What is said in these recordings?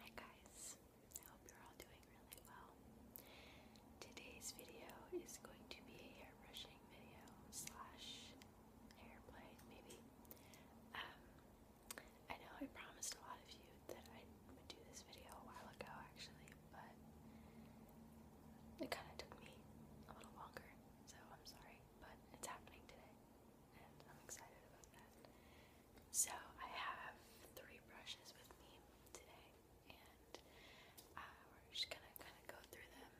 Hi guys, I hope you're all doing really well. Today's video is going to be a hair brushing video slash hair play, maybe. Um, I know I promised a lot of you that I would do this video a while ago actually, but it kind of took me a little longer, so I'm sorry, but it's happening today, and I'm excited about that. So I have three brushes with me today, and uh, we're just gonna kind of go through them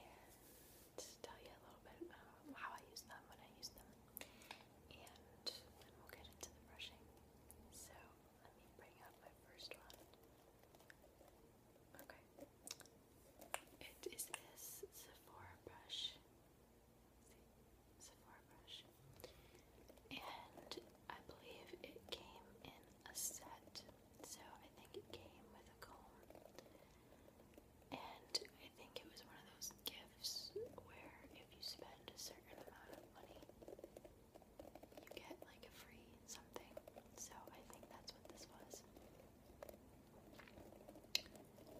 and tell you a little bit about how I use them, when I use them, and then we'll get into the brushing. So let me bring up my first one. Okay, it is this Sephora brush. Sephora brush. And I believe it came in a set, so I think it came with a comb. And I think it was one of those gifts where if you spend a certain amount of money, you get like a free something. So I think that's what this was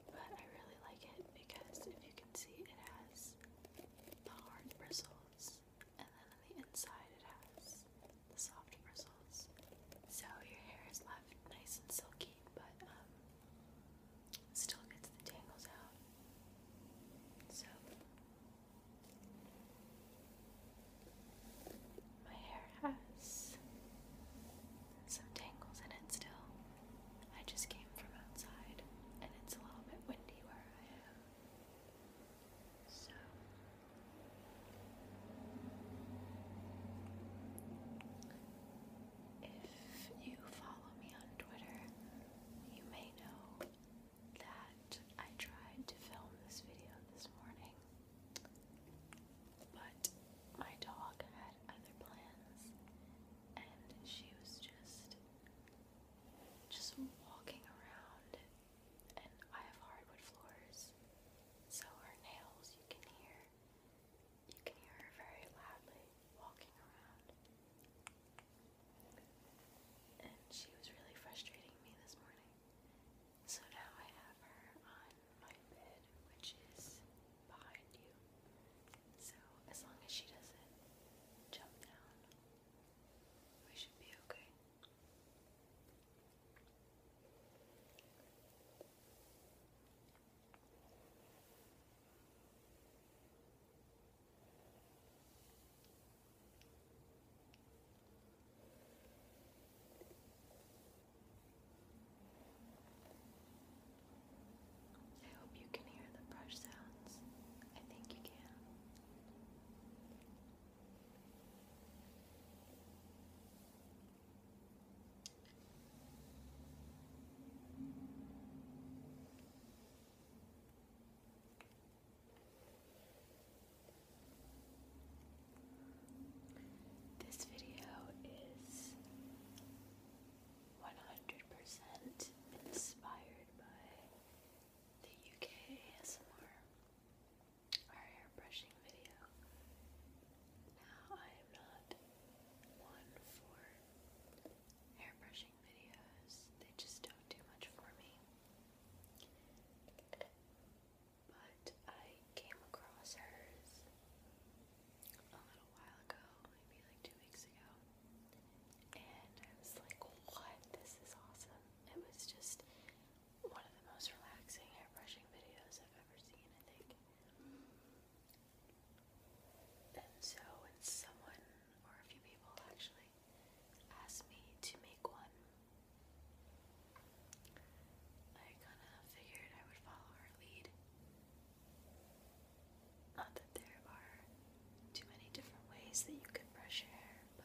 but I really like it because if you can see it has the hard bristles and then on the inside it has the soft bristles. So your hair is left nice and silky but um, still gets the tangles out. So my hair has some tangles in it still. I just came from outside and it's a little bit windy where I am. So if you follow me on Twitter, you may know that I tried to film this video this morning, but my dog other plans, and she was just just walking around. And I have hardwood floors, so her nails you can hear. You can hear her very loudly walking around. And she was really frustrating me this morning. So now I have her on my bed, which is behind you. So as long as she doesn't jump down, we should be okay. I hope you can hear the brush sounds. I think you can. This video is 100% inspired by the UK ASMR, hair brushing video. Now, I am not one for hair brushing videos, they just don't do much for me. But I came across hers a little while ago, maybe like two weeks ago, and I was like, what? This is awesome. It was just one of the most relaxing hairbrushing videos I've ever seen, I think. And so when someone, or a few people actually, asked me to make one, I kind of figured I would follow her lead not that there are too many different ways that you could brush your hair, but.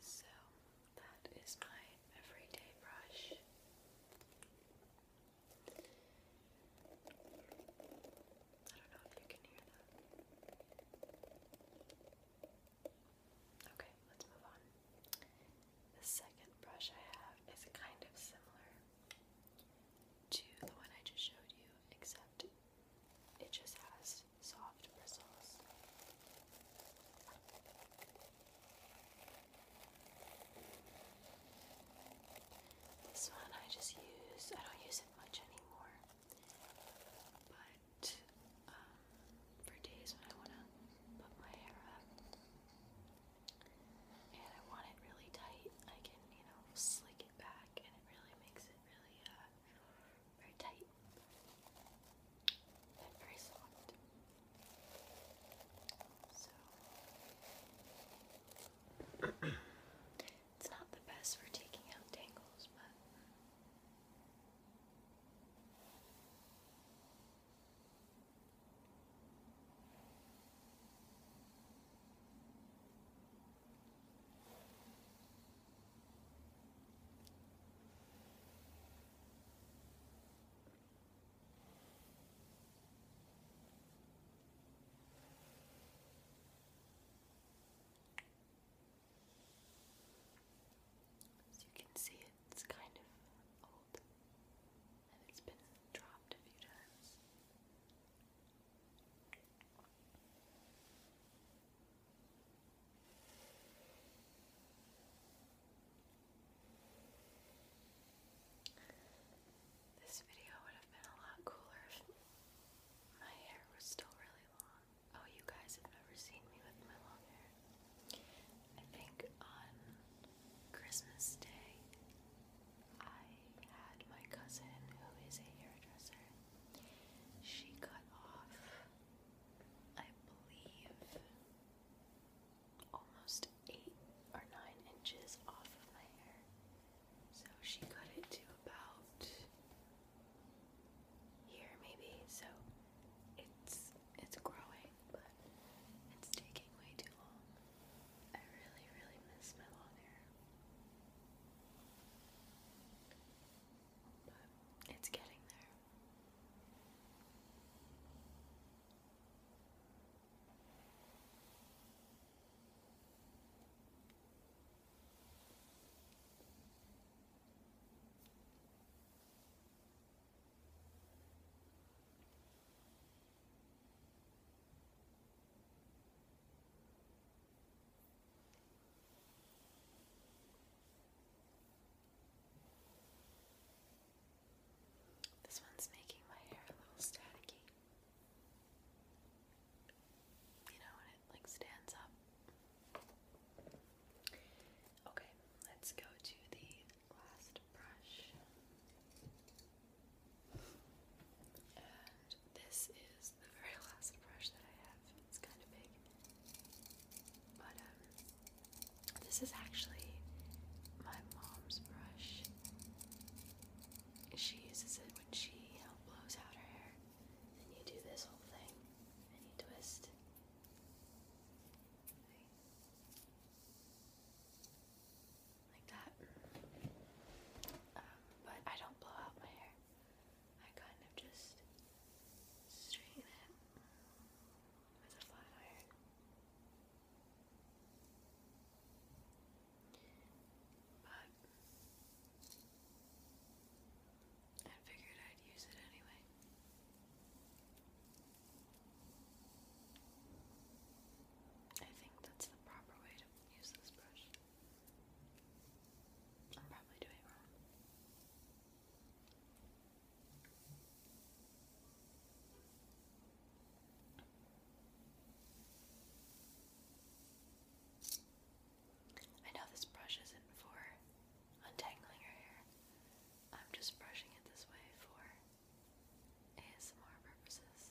So that is my everyday brush. I don't know if you can hear that. Okay, let's move on. The second brush I have is kind of similar to the one I just showed you, except it just has soft bristles. This one I just use, I don't use it much anymore, but um, for days when I want to put my hair up and I want it really tight, I can, you know, slick it back and really makes it really uh, very tight and very soft. So it's not the best for taking out tangles, but. As you can see, it's kind of old and it's been dropped a few times. This video would have been a lot cooler if my hair was still really long. Oh, you guys have never seen me with my long hair. I think on Christmas Day, I had my cousin, who is a hairdresser, she cut off, I believe, almost eight or nine inches off of my hair. So she cut it to about here, maybe. So it's it's growing, but it's taking way too long. I really, really miss my long hair it's getting there. This one's making my hair a little staticky. You know, when it like stands up. Okay, let's go to the last brush this is the very last brush that I have. It's kind of big. But um, this is actually my mom's brush. She uses it when she um, blows out her hair. And you do this whole thing and you twist like that. Um, but I don't blow out my hair. I kind of just straighten it with a flat iron. But I figured I'd use it anyway. I think that's the proper way to use this brush. I'm probably doing wrong. I know this brush isn't for untangling your hair. I'm just brushing it this way for ASMR purposes.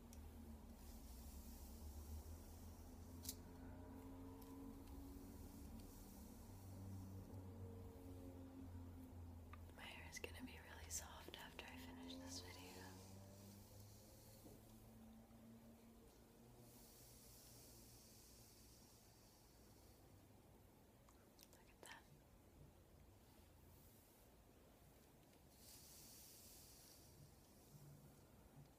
My hair is going to be really soft after I finish this video. Look at that.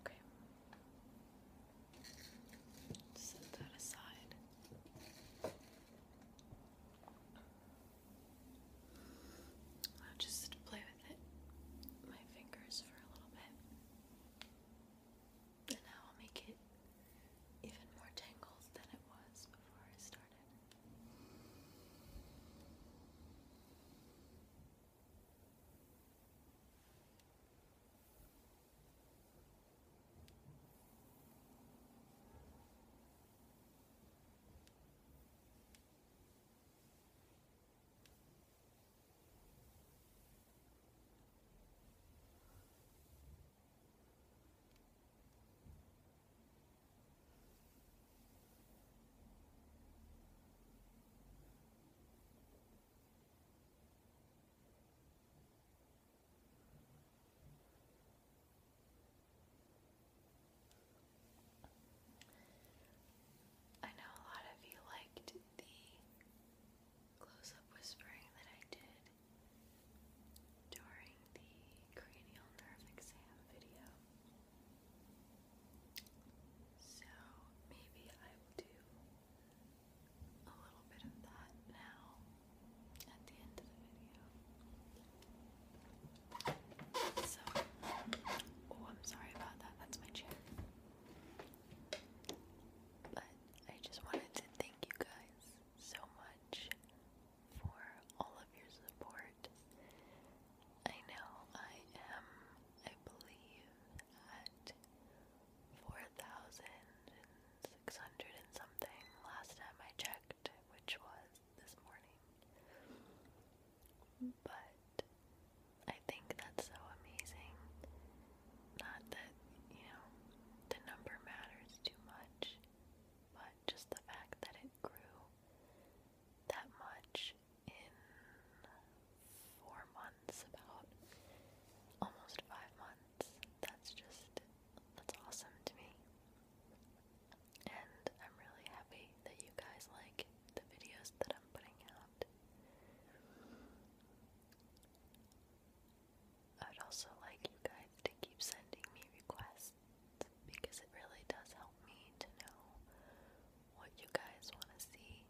Okay. Set that aside. I'll just play with it, my fingers for a little bit. And now I'll make it even more tangled than it was before I started. I know a lot of you liked the close up whispering that I did during the cranial nerve exam video. So maybe I will do a little bit of that now at the end of the video. So, oh, I'm sorry about that. That's my chair. But I just wanted to thank you guys so much for all of your support. I know I am, I believe, at 4,600 and something last time I checked, which was this morning. But I think that's so amazing not that, you know, the number matters too much, but just the fact that it grew that much in four months, about almost five months, that's just, that's awesome to me. And I'm really happy that you guys like the videos that I'm putting out. I would also like you guys to keep sending me requests because it really does help me to know what you guys want to see.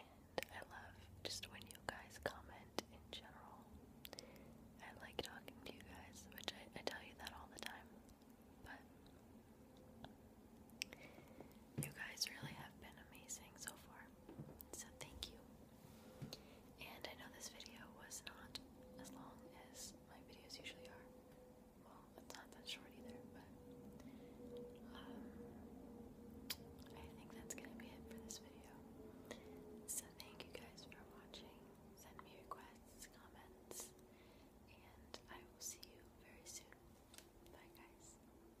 And I love just when you guys comment in general. I like talking to you guys, which I, I tell you that all the time. But you guys really have been amazing so far. So thank you. And I know this video was not as long as my videos usually are. Well, it's not that short either, but um, I think that's gonna be it for this video. So thank you guys for watching. Send me requests, comments, and I will see you very soon. Bye guys.